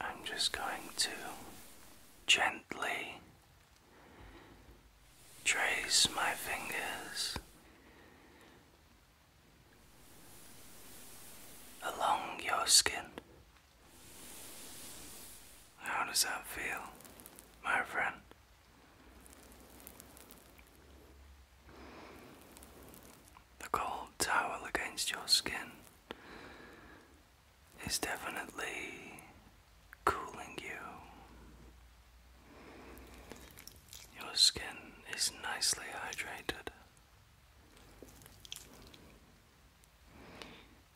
I'm just going to gently trace my fingers along your skin. How does that feel, my friend? The cold towel against your skin is definitely cooling you. Your skin is nicely hydrated,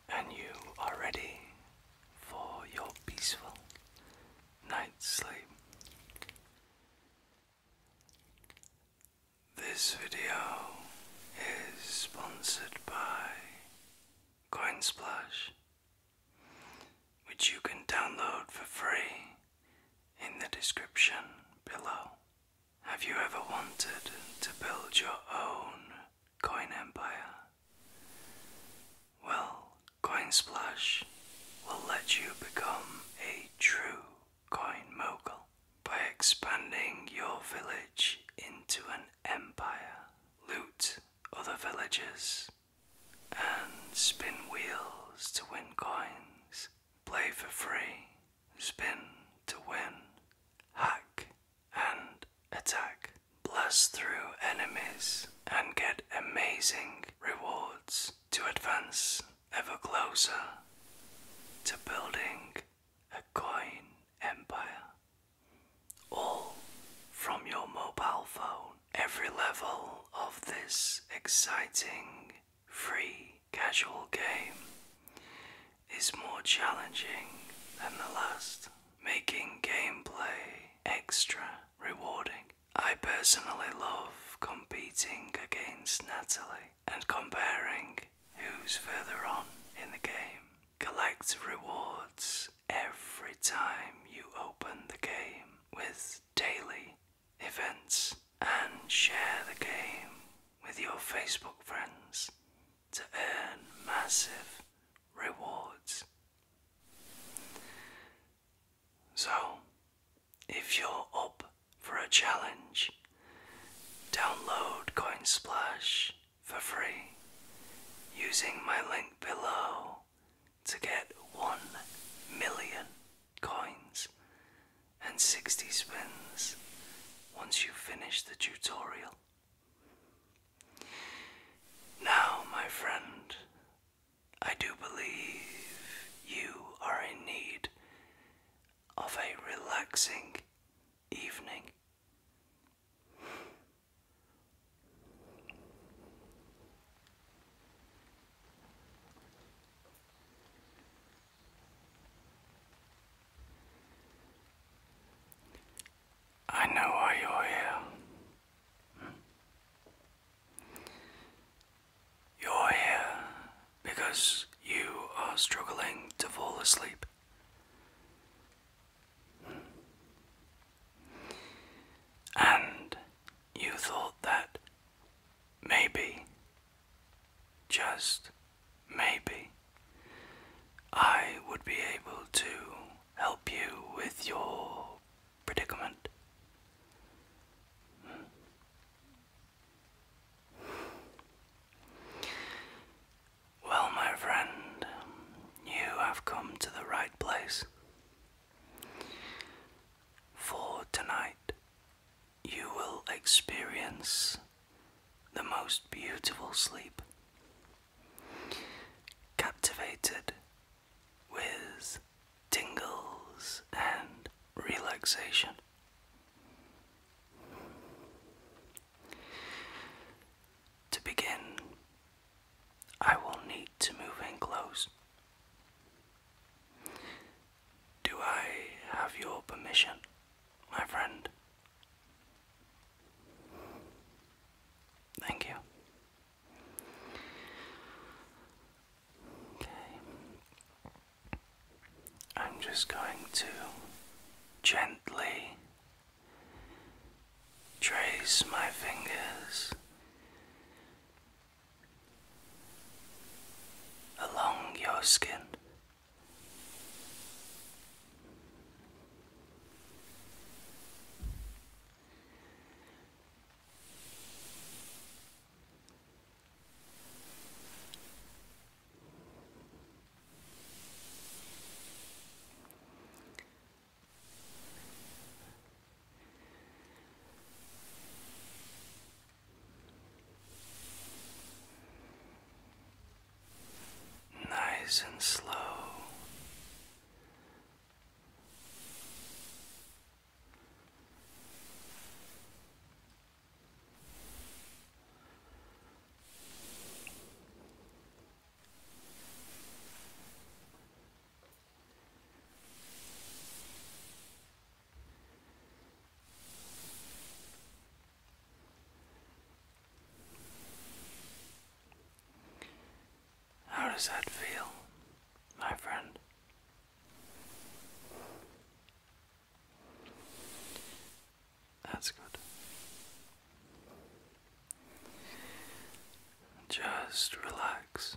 and you are ready for your peaceful night's sleep. This video is sponsored by Coinsplash, which you can download for free in the description below. Have you ever wanted to build your own coin empire? Well, Coinsplash will let you become a true coin mogul by expanding your village into an empire. Loot other villages and spin wheels to win coins. Play for free, spin to win, hack and attack. Blast through enemies and get amazing rewards to advance ever closer to building a coin empire. All from your mobile phone. Every level of this exciting, free, casual game is more challenging than the last, making gameplay extra rewarding. I personally love competing against Natalie and comparing who's further on in the game, Collect rewards every time you open the game with daily events and share the game with your Facebook friends to earn massive rewards. So, if you're up for a challenge Download Coinsplash for free using my link below to get 1 million coins and 60 spins once you finish the tutorial. Now, my friend, I do believe you are in need of a relaxing evening. I know why you're here. You're here because you are struggling to fall asleep. And you thought that maybe, just maybe, I would be able to help you with your predicament. Well, my friend, you have come to the right place. For tonight, you will experience the most beautiful sleep, captivated with tingles and relaxation. To begin, I will need to move in close. Do I have your permission, my friend? Thank you. Okay. I'm just going to gently Trace my fingers along your skin. Nice and slow. How does that feel, my friend? That's good. Just relax.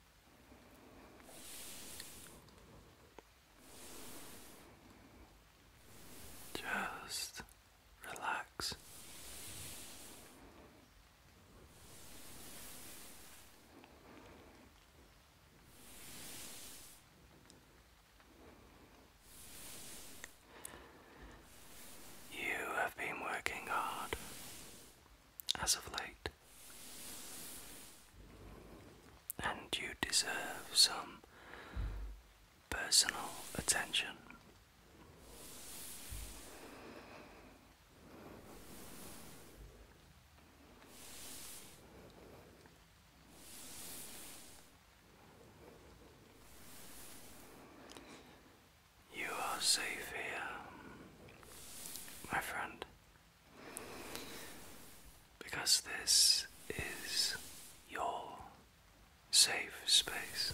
Just relax. You have been working hard as of late. And you deserve some personal attention. You are safe here, my friend. Because this is your safe space.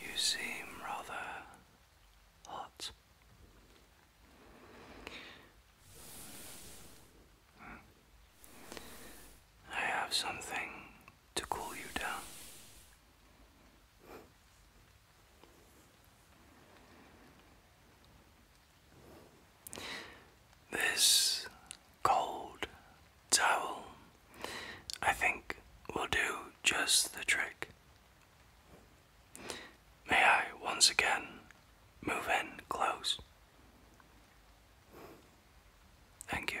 You seem rather hot. I have something to cool you down. This cold towel, I think, will do just the trick. May I once again move in close? Thank you.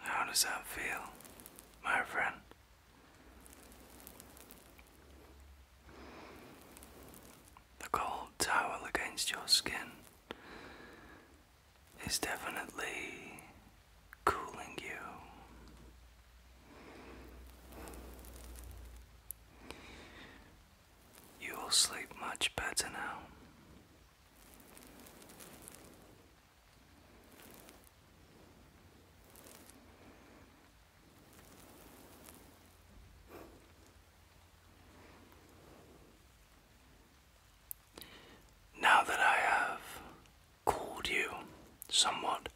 How does that feel, my friend? The cold towel against your skin is definitely cooling you. You will sleep much better now. Now that I have cooled you somewhat,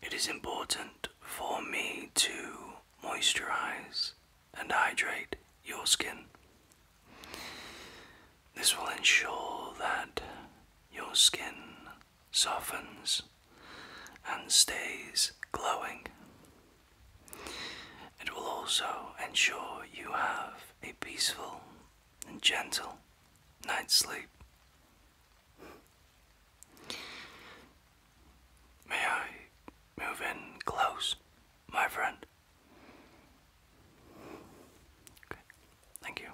it is important for me to moisturize and hydrate your skin. This will ensure that your skin softens and stays glowing. It will also ensure you have a peaceful and gentle night's sleep. May I move in close, my friend? Okay, thank you.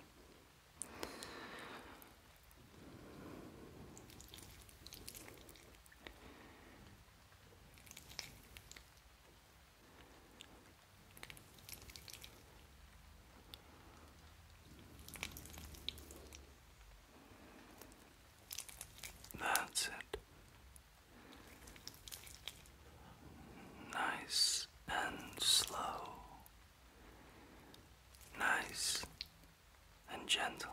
That's it. Nice and slow. Nice and gentle.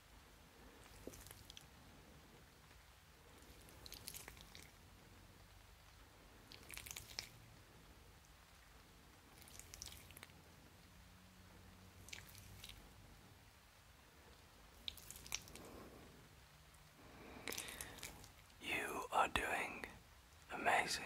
You are doing amazing.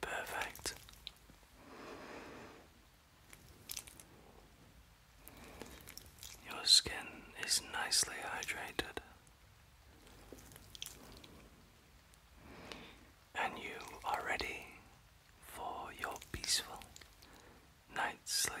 Perfect. Your skin is nicely hydrated, and you are ready for your peaceful night's sleep.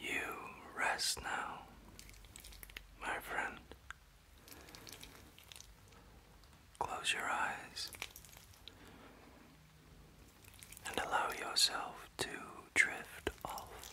You rest now, my friend. Close your eyes and allow yourself to drift off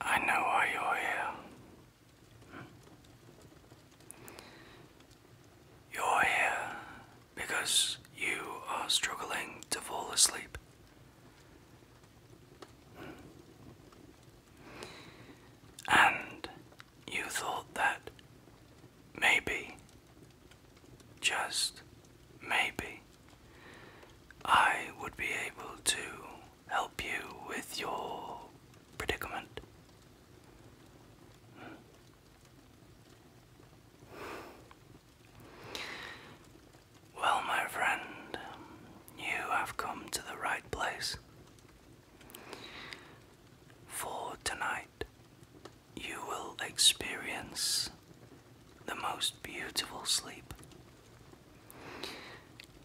I know why you're here. You're here because you are struggling to fall asleep. And you thought that Maybe, just maybe, I would be able to help you with your predicament. Well, my friend, you have come to the right place. For tonight, night, you will experience the most beautiful sleep.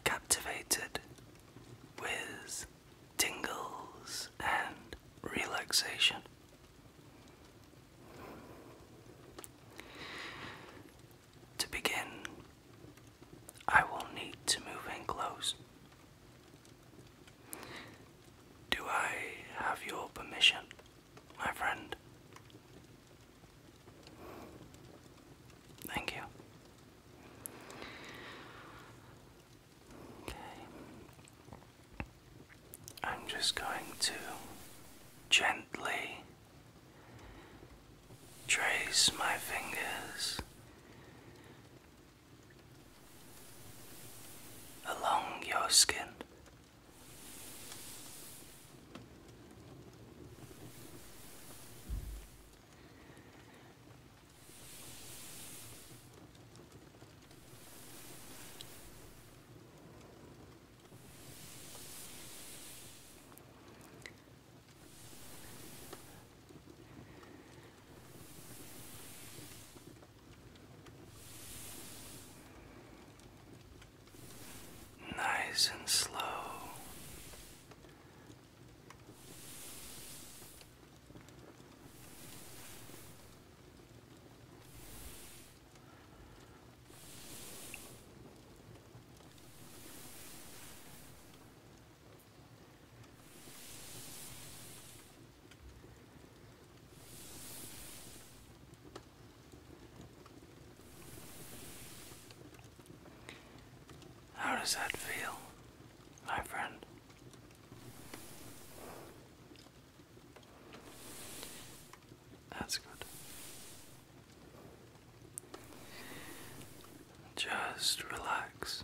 Captivated with tingles and relaxation. To begin, I will need to move in close do I have your permission, my friend? Thank you. Okay. I'm just going to gently trace my fingers along your skin. Nice and slow. How does that feel, my friend? That's good. Just relax.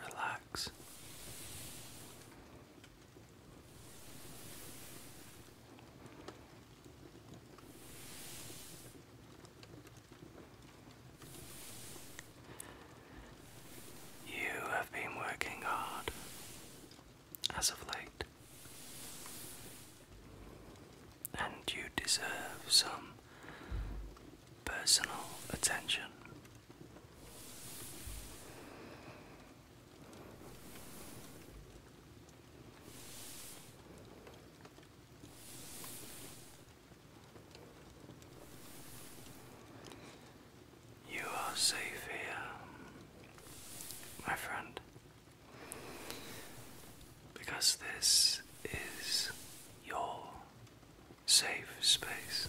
relax. You have been working hard as of late, and you deserve some personal attention you are safe here, my friend, because this is your safe space.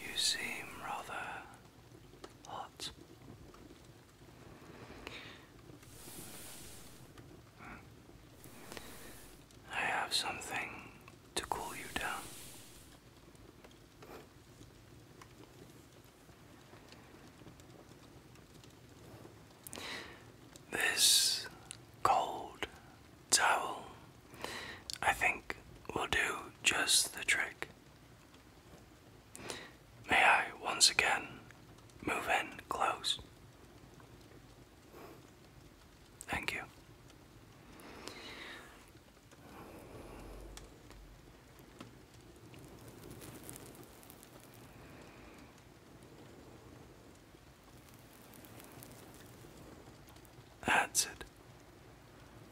You seem rather hot. I have something to cool you down. This cold towel, I think, will do just the trick. May I once again move in close? Thank you. That's it.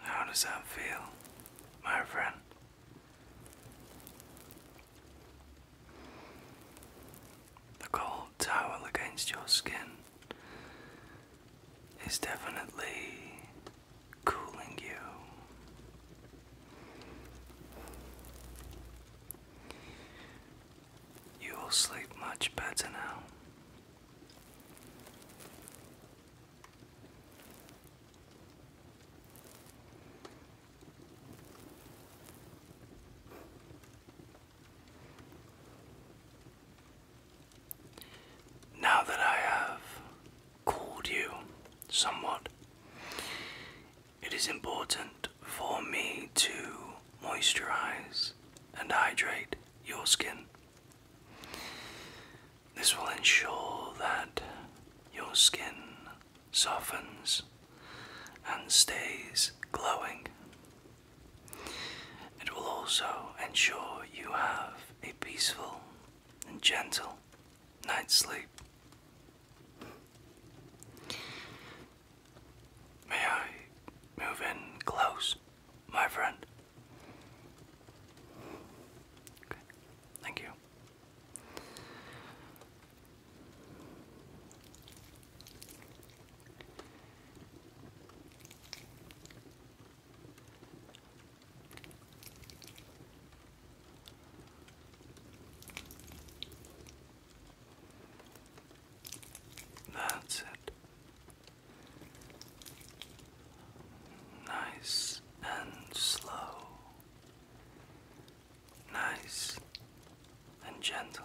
How does that feel, my friend? The cold towel against your skin is definitely cooling you. You will sleep much better now. Now that I have cooled you somewhat, it is important for me to moisturize and hydrate your skin. This will ensure that your skin softens and stays glowing. It will also ensure you have a peaceful and gentle night's sleep. May I move in close, my friend? Okay, thank you. That's it. Nice and slow. Nice and gentle.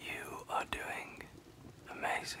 You are doing amazing.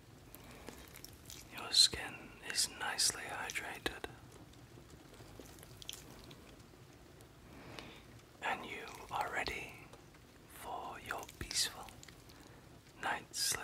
Your skin is nicely hydrated, and you are ready for your peaceful night's sleep.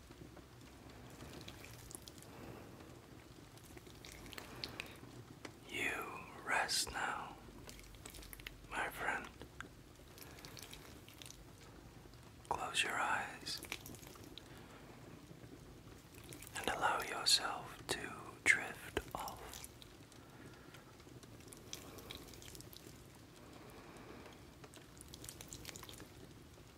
You rest now, my friend. Close your eyes and allow yourself to drift off.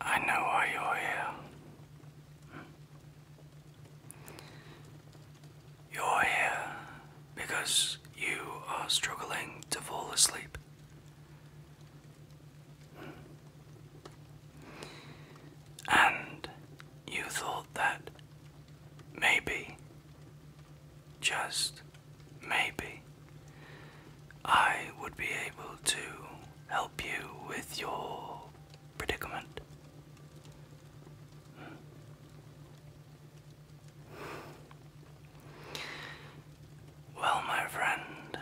I know why you're here. You're here because you are struggling to fall asleep. And you thought that maybe, just maybe, I would be able to help you with your predicament. Well, my friend,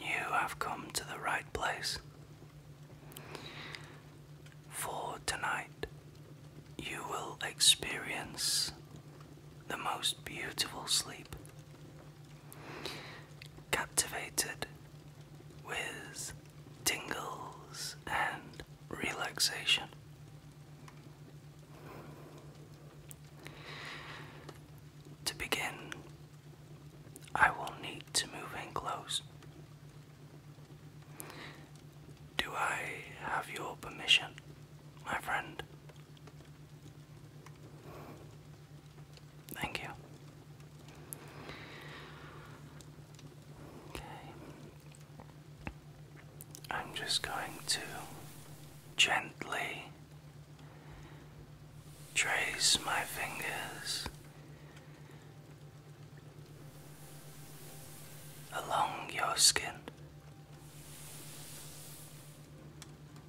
you have come to the right place. For tonight, you will experience the most beautiful sleep Captivated with tingles and relaxation. To begin, I will need to move in close. Do I have your permission, my friend? Thank you. Okay. I'm just going to gently trace my fingers along your skin.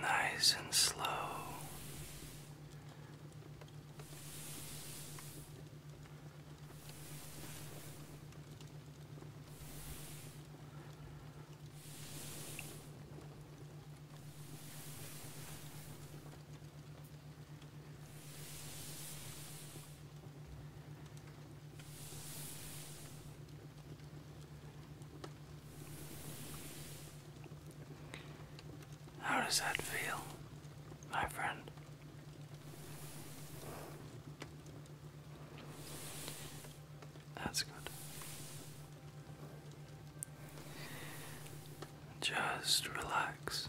nice and slow. How does that feel, my friend? That's good. Just relax.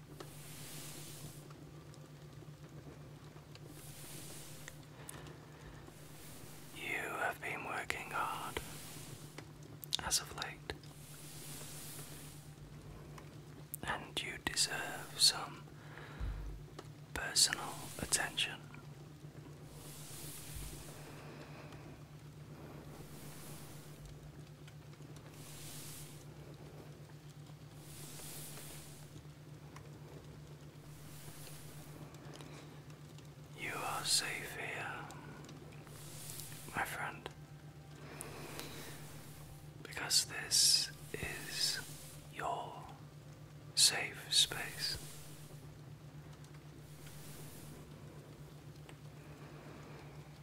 You have been working hard as of late, and you deserve some personal attention. You are safe here, my friend, because this is your safe space.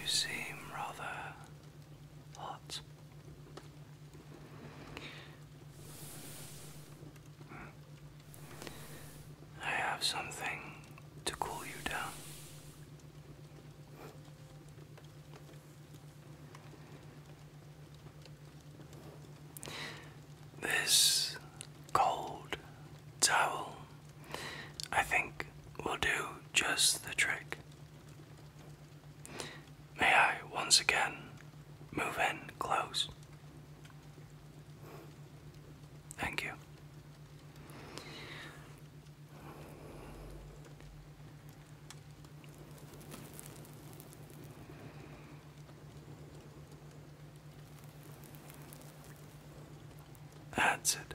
You seem rather hot. I have something to cool you down. This cold towel, I think, will do just the trick. May I once again move in close? Thank you. That's it.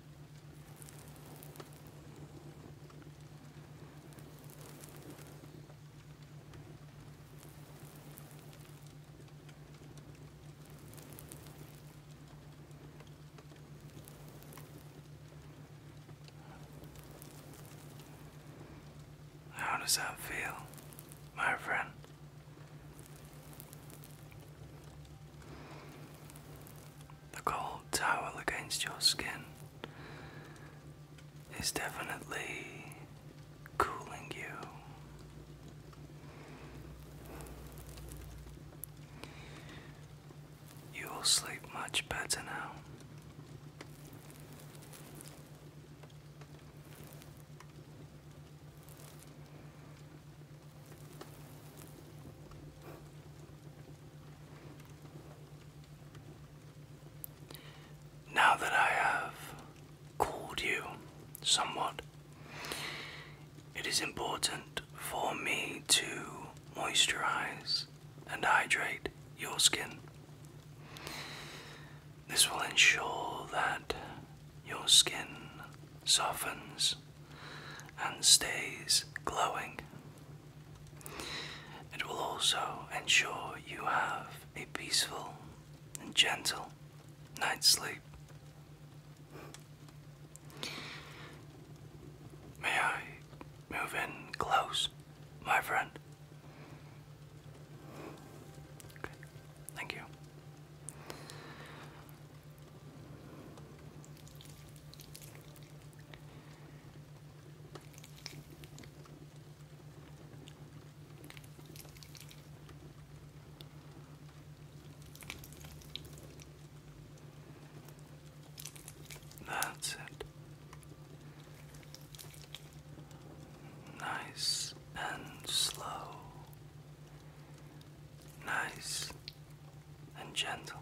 How does that feel, my friend? The cold towel against your skin is definitely cooling you. You will sleep much better now. Now that I have cooled you somewhat, it is important for me to moisturize and hydrate your skin. This will ensure that your skin softens and stays glowing. It will also ensure you have a peaceful and gentle night's sleep. May I move in close, my friend? Thank you. That's it. Nice and slow. Nice and gentle.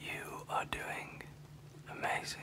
You are doing amazing.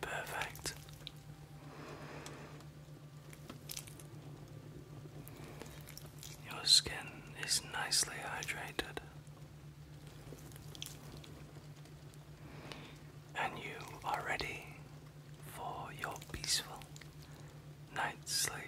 Perfect. Your skin is nicely hydrated, and you are ready for your peaceful night's sleep.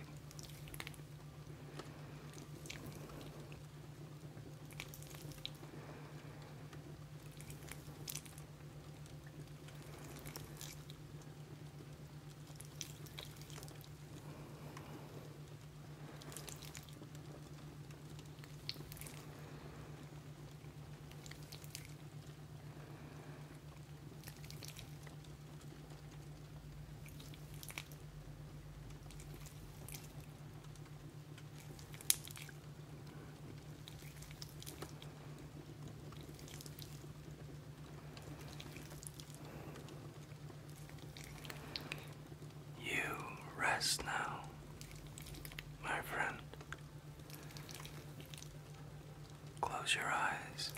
You rest now, my friend. Close your eyes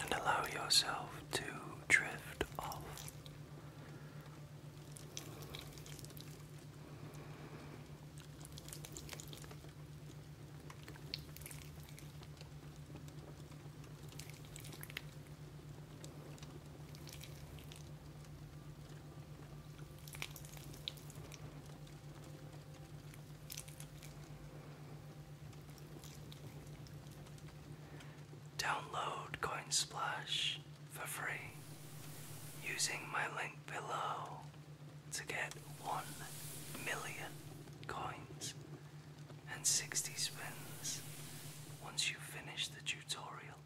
and allow yourself to drift off. Download Coinsplash for free using my link below to get 1 million coins and 60 spins once you finish the tutorial.